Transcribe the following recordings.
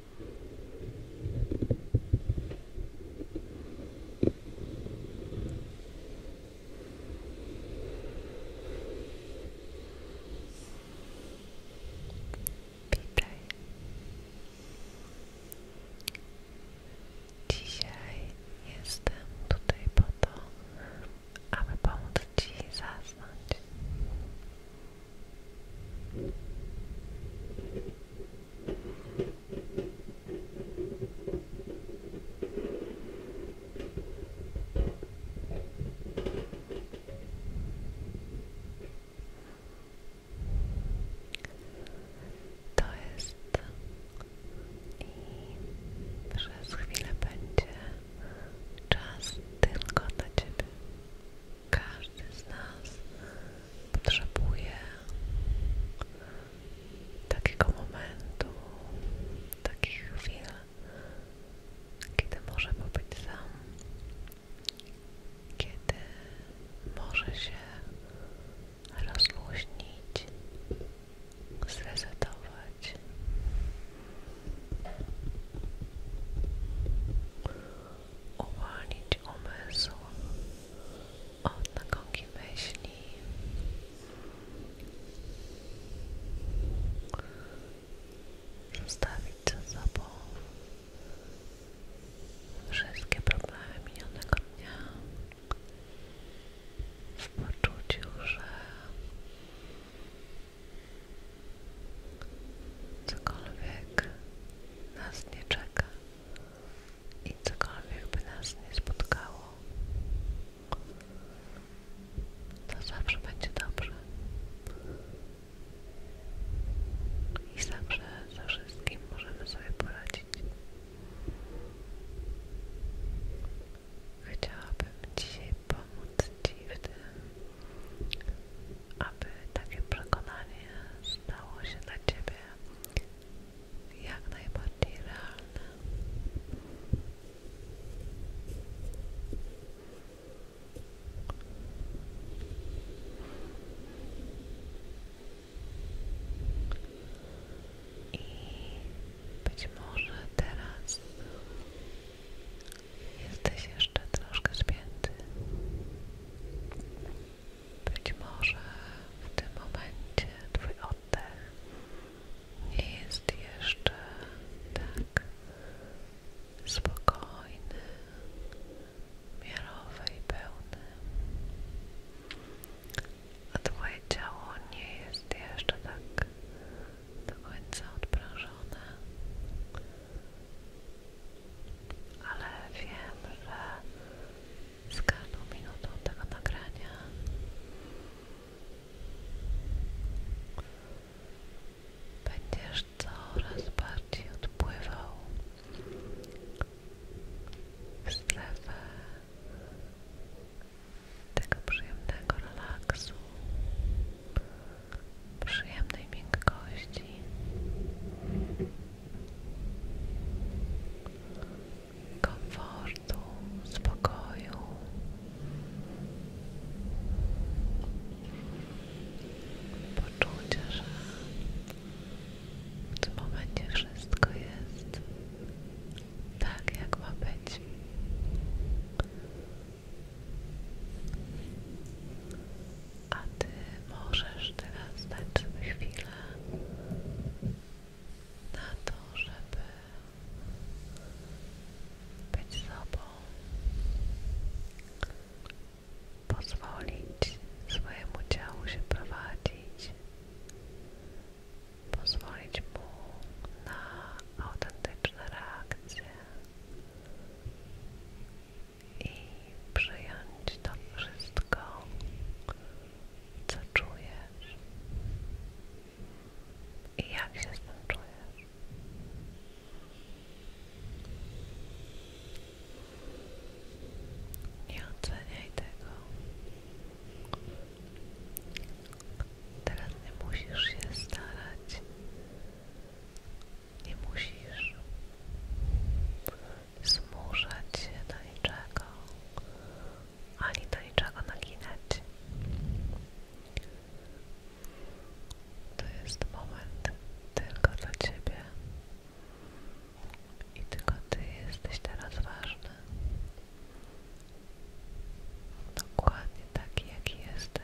Witaj. Dzisiaj jestem tutaj po to, aby pomóc Ci zasnąć. To jest i przez chwilę będzie czas tylko dla Ciebie każdy z nas potrzebuje takiego momentu, takich chwil, kiedy może być sam, kiedy może się rozluźnić, zrezygnować, Uwolnić umysł, od nagonki myśli zostawić za sobą wszystkie problemy minionego dnia w poczuciu, że cokolwiek nas nie czeka i cokolwiek by nas nie spotkało, to zawsze będzie dobrze. I zawsze ze wszystkim możemy sobie poradzić. Chciałabym dzisiaj pomóc Ci w tym, aby takie przekonanie stało się dla Ciebie siebie jak najbardziej I być może teraz jesteś jeszcze troszkę spięty. Być może w tym momencie Twój oddech nie jest jeszcze tak spokojny, miarowy i pełny, a Twoje ciało nie jest jeszcze tak do końca odprężone ale wiem, że z każdą minutą tego nagrania będziesz coraz bardziej odpływał w strefę tego przyjemnego relaksu, przyjemnej miękkości komfortu, spokoju. Poczucie, że w tym momencie wszystko jest tak, jak ma być a Ty możesz teraz dać sobie chwilę na to, żeby być sobą, pozwolić swojemu ciału się prowadzić, pozwolić mu na autentyczne reakcje i przyjąć to wszystko, co czujesz i jak się z tym czujesz. Nie oceniaj tego. Teraz nie musisz się starać. Nie musisz zmuszać się do niczego, ani do niczego naginać. To jest moment tylko dla Ciebie i tylko Ty jesteś teraz ważny. Dokładnie taki, jaki jesteś.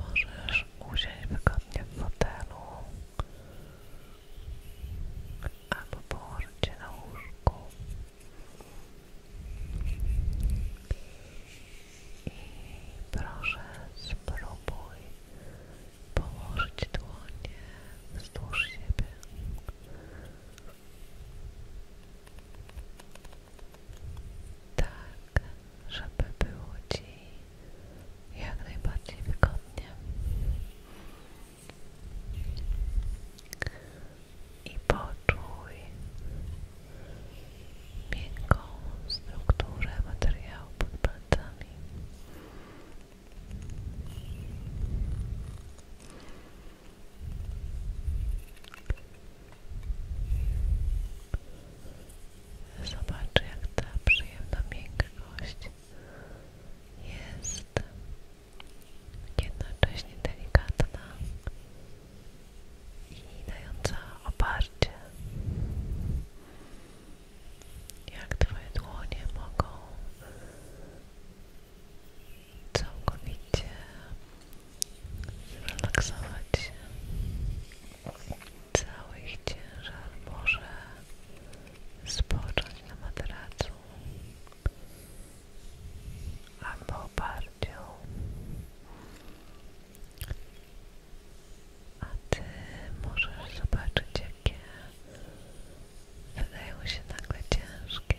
Możesz usiąść wygodnie w fotelu albo położę Cię na łóżku i proszę spróbuj położyć dłonie wzdłuż siebie tak, żeby było Ci jak najbardziej wygodnie i poczuj miękką strukturę materiału pod palcami. Zobacz, jak ta przyjemna miękkość jest jednocześnie delikatna i dająca oparcie. Jak Twoje dłonie mogą całkowicie zrelaksować się. Cały ich ciężar może spocząć na materacu albo oparciu a Ty możesz zobaczyć jakie wydają się nagle ciężkie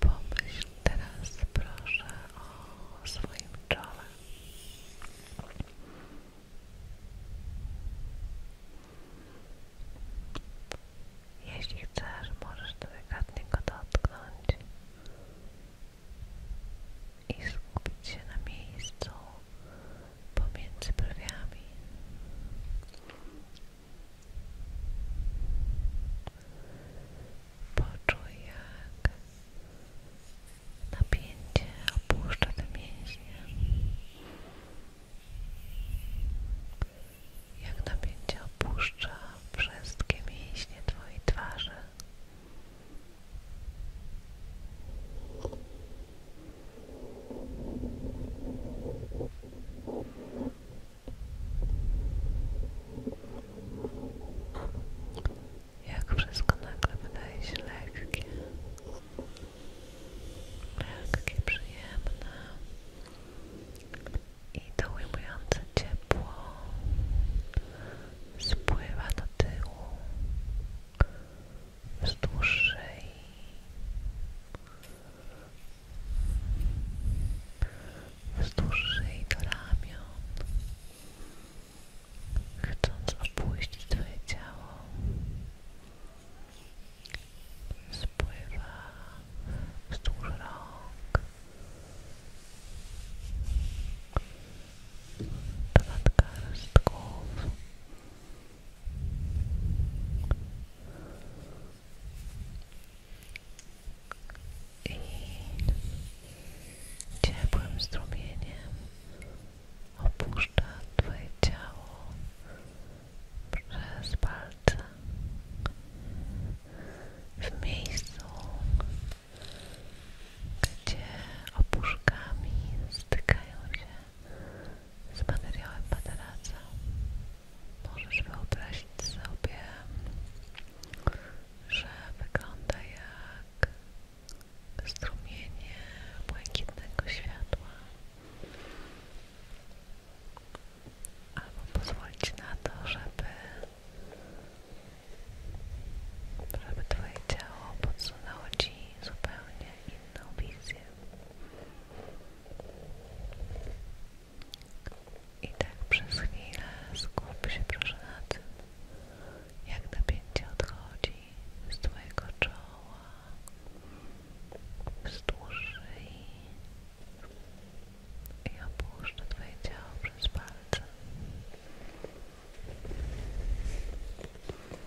Pomyśl teraz proszę o swoim Jeśli chcesz, możesz delikatnie go dotknąć i skupić się na miejscu, pomiędzy brwiami. Poczuj, jak napięcie opuszcza te mięśnie. Jak napięcie opuszcza wszystkie mięśnie Twojej twarzy. Jak wszystko nagle wydaje się lekkie, lekkie, przyjemne i to ujmujące ciepło spływa do tyłu wzdłuż dłuższej, wzdłuż dłuższej do ramion chcąc opuścić Twoje ciało spływa wzdłuż rąk do nadgarstków i ciepłym strumieniem opuszcza Twoje ciało przez palce w miejscu, gdzie opuszkami stykają się z materiałem materaca możesz wyobrazić sobie, że wygląda jak strumienie błękitnego światła albo pozwolić na to, żeby żeby Twoje ciało podsunęło zupełnie inną wizję. I tak przez chwilę skup się proszę na tym, jak napięcie odchodzi z Twojego czoła, wzdłuż szyi i opuszcza Twoje ciało przez palce.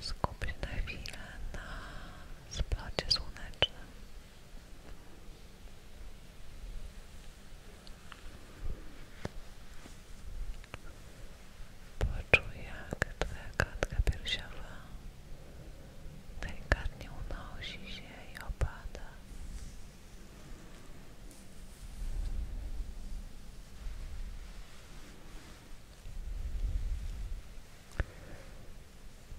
Skup się na chwilę na splocie słonecznym. Poczuj jak twoja klatka piersiowa delikatnie unosi się i opada.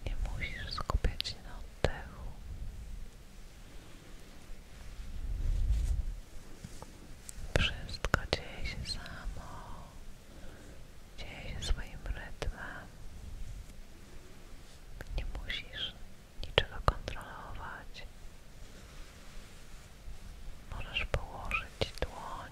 Nie musisz skupiać się na oddechu. Wszystko dzieje się samo. Dzieje się swoim rytmem. Nie musisz niczego kontrolować. Możesz położyć dłoń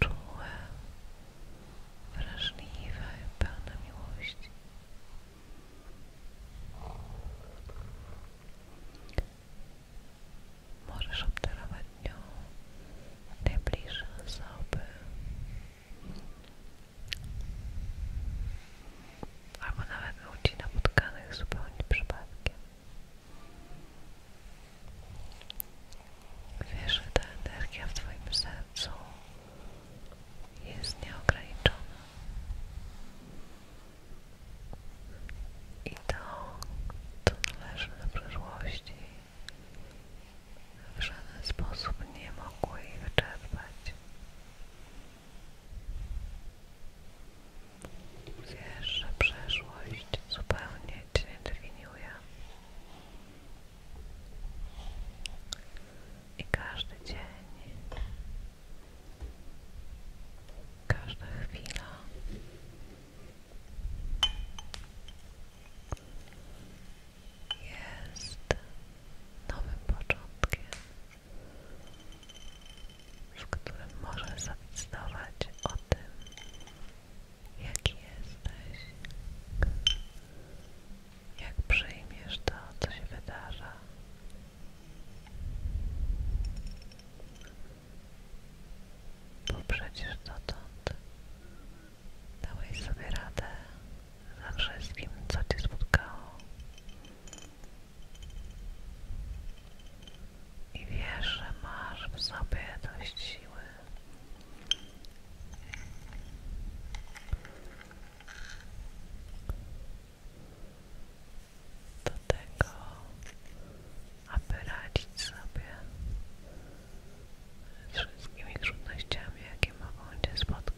czułe, wrażliwe, pełne miłości. Możesz obdarować nią najbliższe osoby albo nawet ludzi napotkanych zupełnie przypadkiem. Wiesz, że ta energia w Twoim sercu jest nieograniczona. I to, co należy do przeszłości, w żaden sposób nie mogło jej wyczerpać. Wiesz, że przeszłość zupełnie it definiuje. I każdy dzień, każda chwila jest nowym początkiem, w którym możesz zadecydować o tym, jaki jesteś, jak przyjmiesz to, co się wydarza. Bo przecież dotąd dałeś sobie radę za wszystkim, co cię spotkało i wiesz, że masz w sobie dość siły. Do tego, aby radzić sobie z wszystkimi trudnościami, jakie mogą Cię spotkać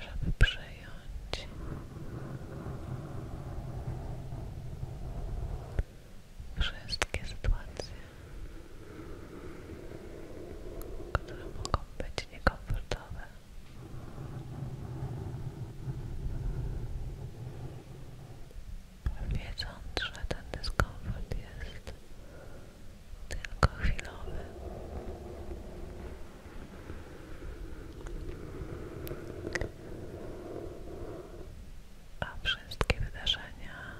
żeby przejąć wszystkie sytuacje, które mogą być niekomfortowe wiedząc, że ten dyskomfort jest tylko chwilowy. A wszystkie wydarzenia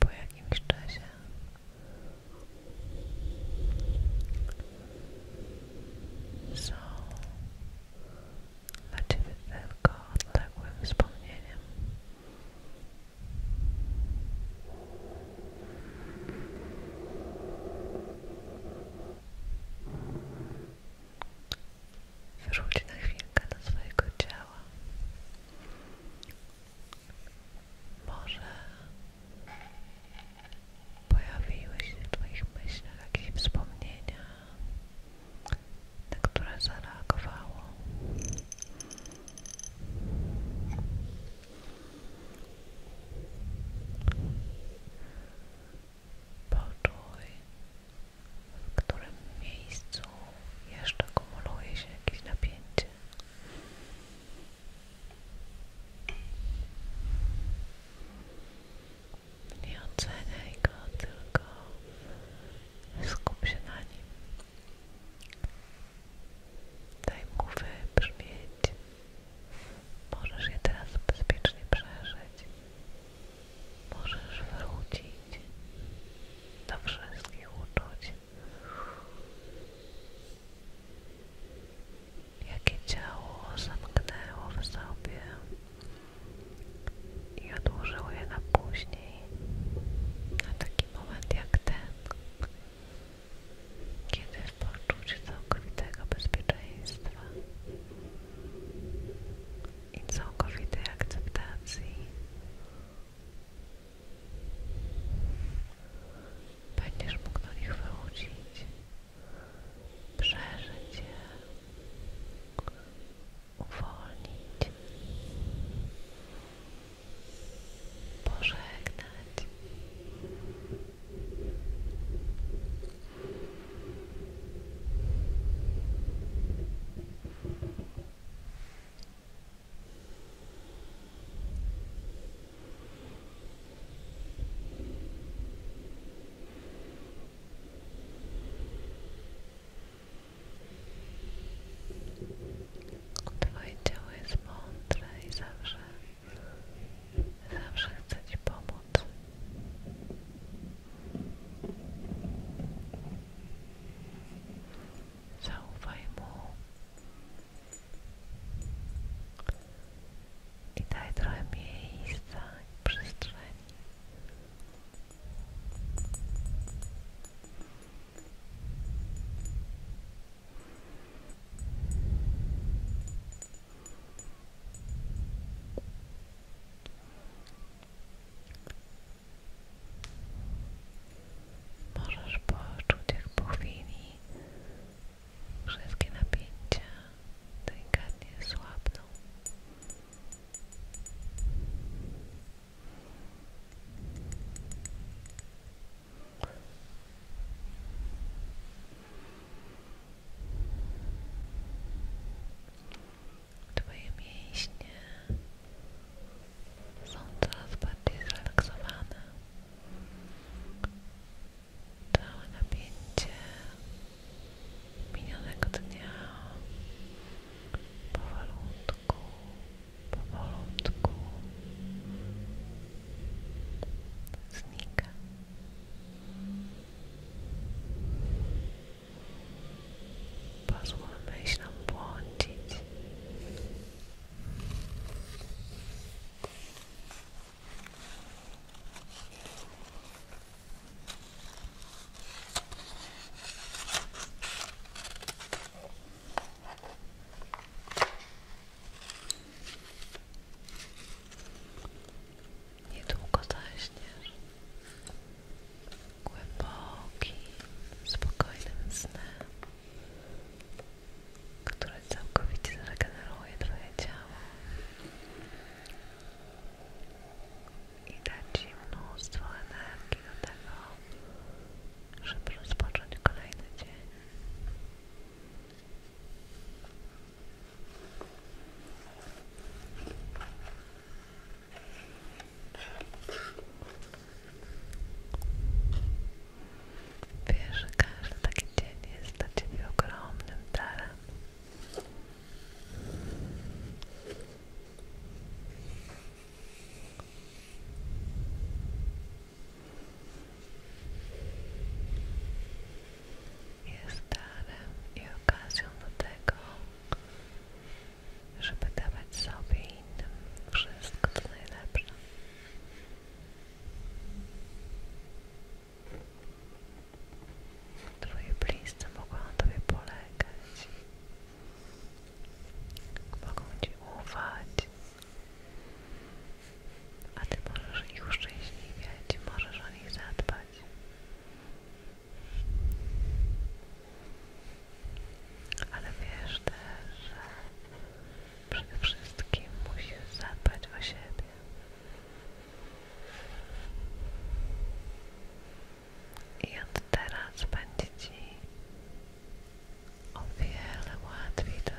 po jakimś czasie są dla Ciebie tylko odległym wspomnieniem. Wróć na chwilkę do swojego ciała. Może pojawiły się w Twoich myślach jakieś wspomnienia te tak, które zareagowało. Poczuj, w którym miejscu jeszcze kumuluje się jakieś napięcie. Nie oceniaj go, tylko skup się na nim. Daj mu wybrzmieć. Możesz je teraz bezpiecznie przeżyć. Możesz wrócić do wszystkich uczuć. Jakie ciało zamknęło w sobie, i odłożyły je na później, na taki moment jak ten, kiedy w poczuciu całkowitego bezpieczeństwa i całkowitej akceptacji będziesz mógł do nich wrócić, przeżyć je uwolnić, pożegnać. Twoje ciało jest mądre i zawsze, zawsze chce Ci pomóc. Zaufaj mu i daj trochę miejsca i przestrzeni Możesz poczuć, jak po chwili wszystkie napięcia delikatnie słabną. Twoje mięśnie są coraz bardziej zrelaksowane. Całe napięcie minionego dnia powolutku, powolutku znika. Pozwól myślom błądzić. Niedługo zaśniesz głębokim, spokojnym snem, które całkowicie zregeneruje Twoje ciało i dać mnóstwo energii do tego, żeby rozpocząć kolejny dzień. Wiesz, że każdy taki dzień jest dla Ciebie ogromnym darem jest darem i okazją do tego, żeby dawać sobie i innym wszystko co najlepsze. Twoje bliscy mogą na Tobie polegać. Mogą Ci ufać, a Ty możesz ich uszczęśliwiać, możesz o nich zadbać. Ale wiesz też, że przede wszystkim musisz zadbać o siebie. I od teraz będzie Ci o wiele łatwiej to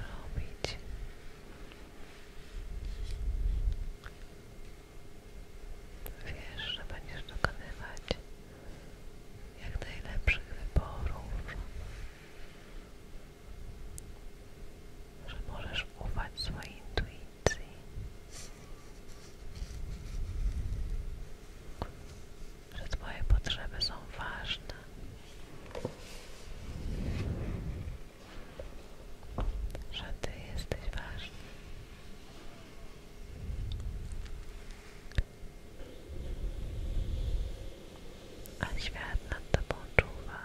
Wiesz, że będziesz dokonywać jak najlepszych wyborów, że możesz ufać swojej intuicji, że Twoje potrzeby są ważne. Że Ty jesteś ważny. A świat nad Tobą czuwa.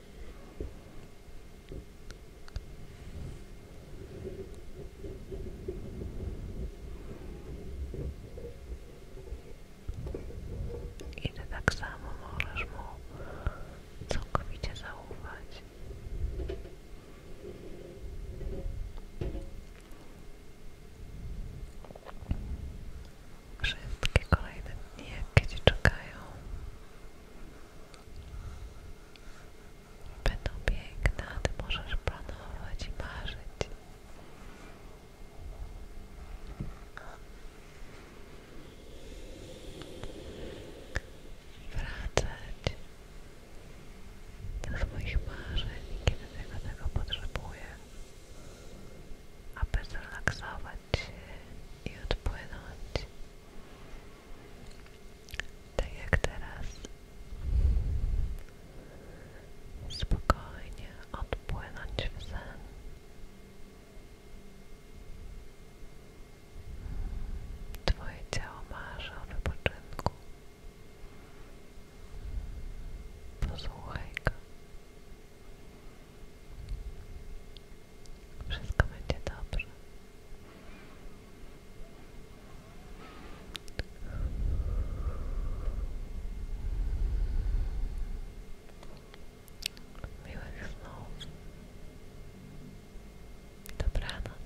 I ty tak samo możesz mu całkowicie zaufać. Wszystkie kolejne dni, jakie Ci czekają, będą piękne, a Ty możesz planować i marzyć. Wracać do swoich marzeń, kiedy tylko tego potrzebuję aby zrelaksować się i odpłynąć. Tak jak teraz spokojnie odpłynąć w sen. Twoje ciało marzy o wypoczynku. Posłuchaj go. Wszystko będzie dobrze. Miłych snów. Dobranoc.